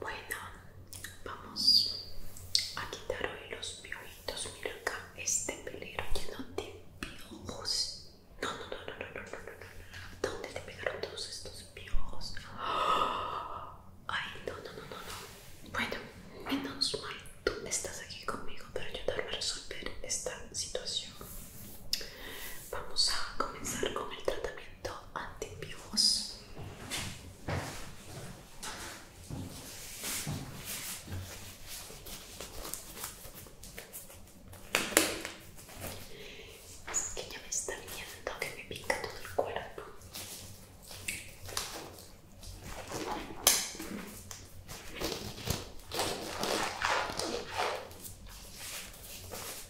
Bueno, vamos a quitar hoy los piojitos. Mira acá, este pelero lleno de piojos. No, no, no, no, no, no, no, no. ¿Dónde te pegaron todos estos piojos? Ay, no, no, no, no, no. Bueno, menos mal, tú estás aquí conmigo para ayudarme a resolver esta situación. Vamos a comenzar con el tratamiento. Todo antipiojos. Es que ya me está viendo que me pica todo el cuerpo.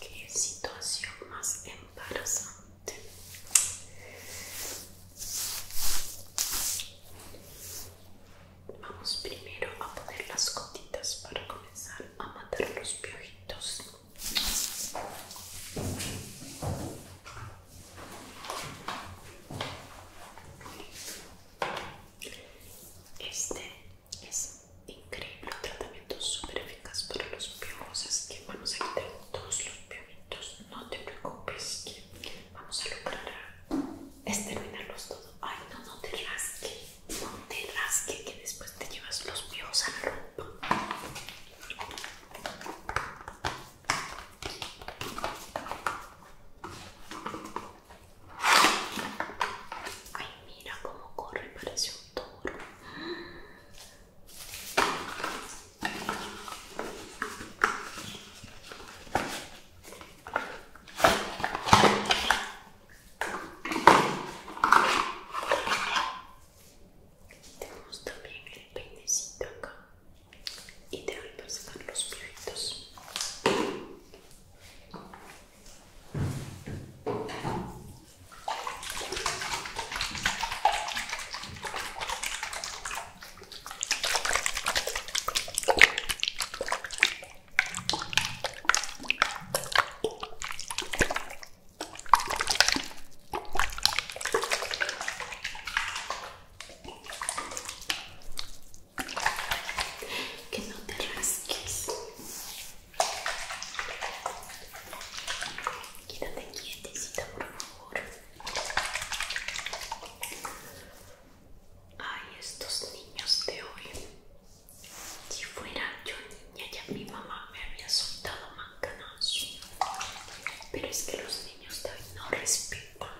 Qué situación más embarazante. Vamos primero a poner las gotitas para comenzar a matar los piojitos. Este es increíble, un tratamiento súper eficaz para los piojos, así que vamos a quitar todos los piojitos, no te preocupes que vamos a lograr exterminarlos todos. Ay, no, no te rasques no te rasque que después te llevas los míos a la ropa. Ay, mira cómo corre, parece un toro. Tenemos también el peinecito acá y te voy a sacar los pelitos. Que no te rasques. Quédate quietecita, por favor. Ay, estos niños de hoy. Si fuera yo niña ya mi mamá me habría soltado mancanazo. Pero es que los niños de hoy no respetan.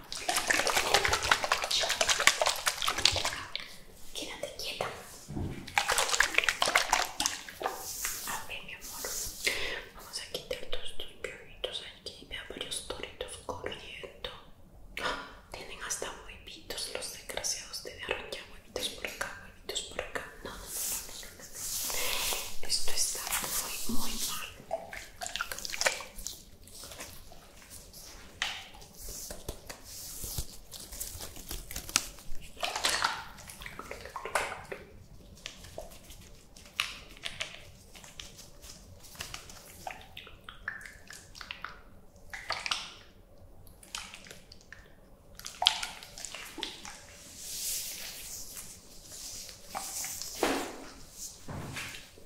Quédate quieta. A ver, mi amor. Vamos a quitar todos tus pioritos aquí. Vea varios toritos corriendo. ¡Ah! Tienen hasta huevitos los desgraciados de arranque por acá, por acá. No, no, no, no, no. Esto está muy, muy mal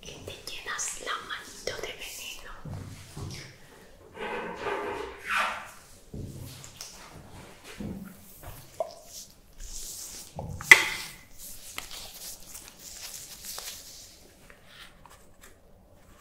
que te llenas la manito de veneno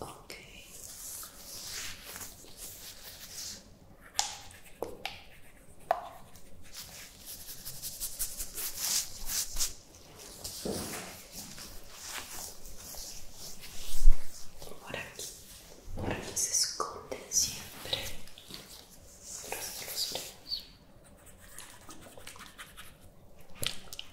Ok. Por aquí, por aquí se esconden siempre los, los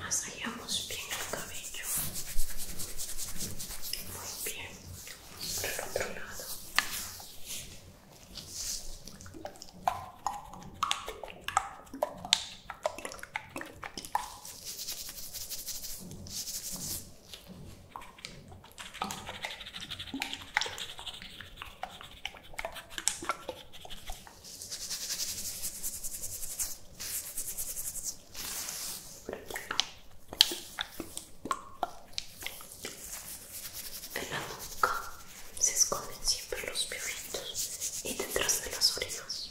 Masajamos bien el cabello. Muy bien. Por el otro lado. Muy en la boca se esconden siempre los piojitos y detrás de los orejas.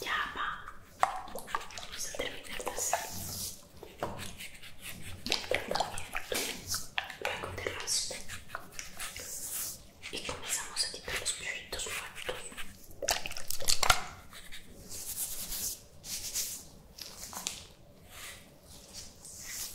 Ya va. Vamos a terminar de hacer. el Luego te raspe. Y comenzamos a quitar los perritos muertos.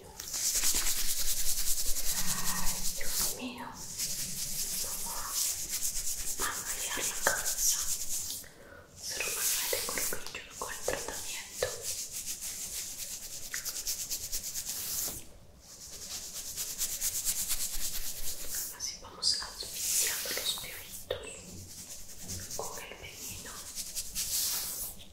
Ay, Dios mío, vamos a la manual con con el tratamiento. Así vamos asfixiando los pibitos con el veneno.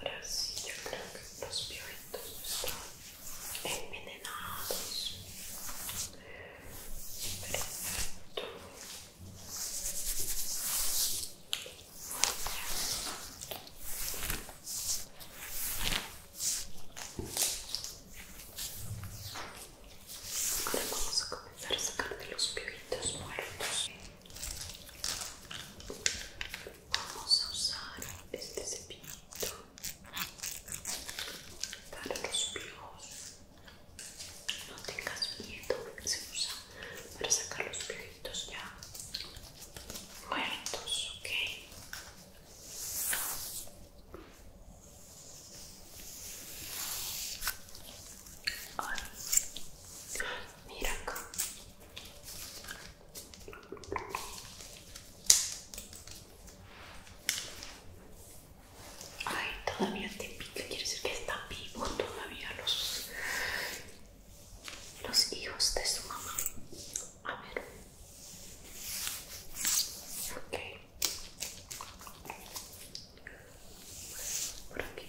Ahora sí, yo creo que los piojos están envenenados. Perfecto. Ahora vamos a comenzar a sacar de los pibitos muertos vamos a usar este cepillito para los piojos. No tengas miedo, se usa para sacar los piojitos ya muertos, ¿ok? ahora mira acá. Ay, todavía te pica, quiere decir que está vivo todavía los, hijos de su mamá. A ver. Ok. Por aquí.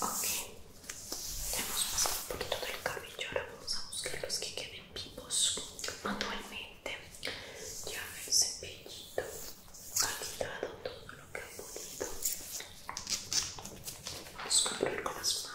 Ok, ya hemos pasado un poquito del cabello, ahora vamos a buscar los que queden vivos manualmente. Ya el cepillito ha quitado todo lo que ha bonito Vamos a cubrir con las manos.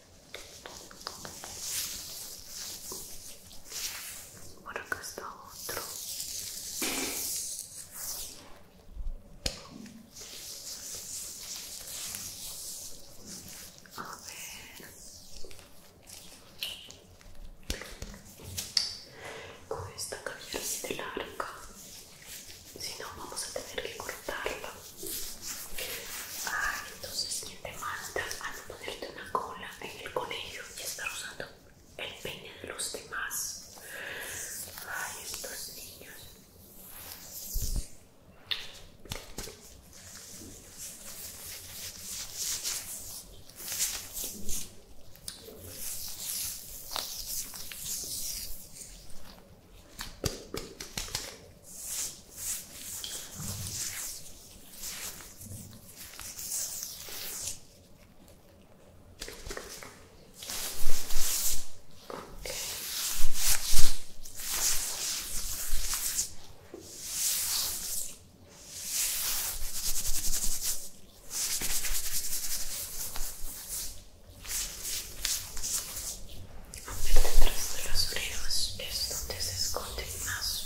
Por acá está otro. A ver. Con esta cabellera así de larga, si no vamos a tener que cortarla entonces ¿quién te falta no ponerte una cola en el colegio y estar usando el peine de los demás. Ay, estos niños. A detrás de los orejas es donde se esconden más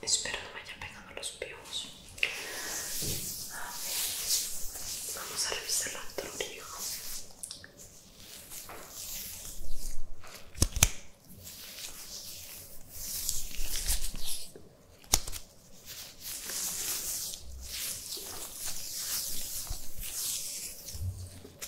Espero no me haya pegado los pibos vamos a revisar la otra Ok,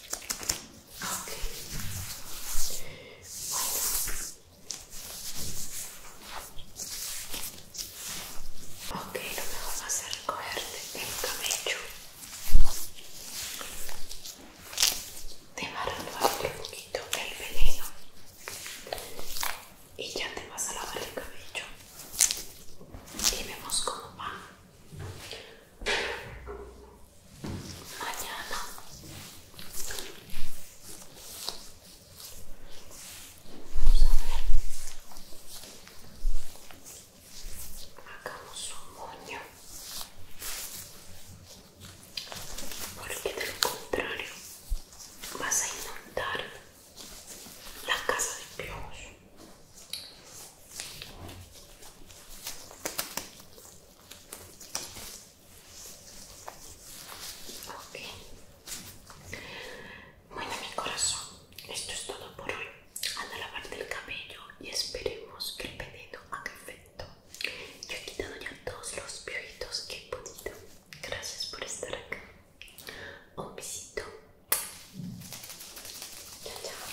lo mejor va a ser recogerte el cabello. Te va a un poquito el veneno. Y ya te vas a lavar el cabello. Y vemos cómo va mañana vamos a ver hagamos un moño porque de lo contrario vas a inundar la casa de piojos Okay. Bueno, mi corazón, esto es todo por hoy. Anda a lavarte el cabello y esperemos que el pedido haga efecto. Yo he quitado ya todos los piojitos que he podido. Gracias por estar acá. Un besito. Chao, chao.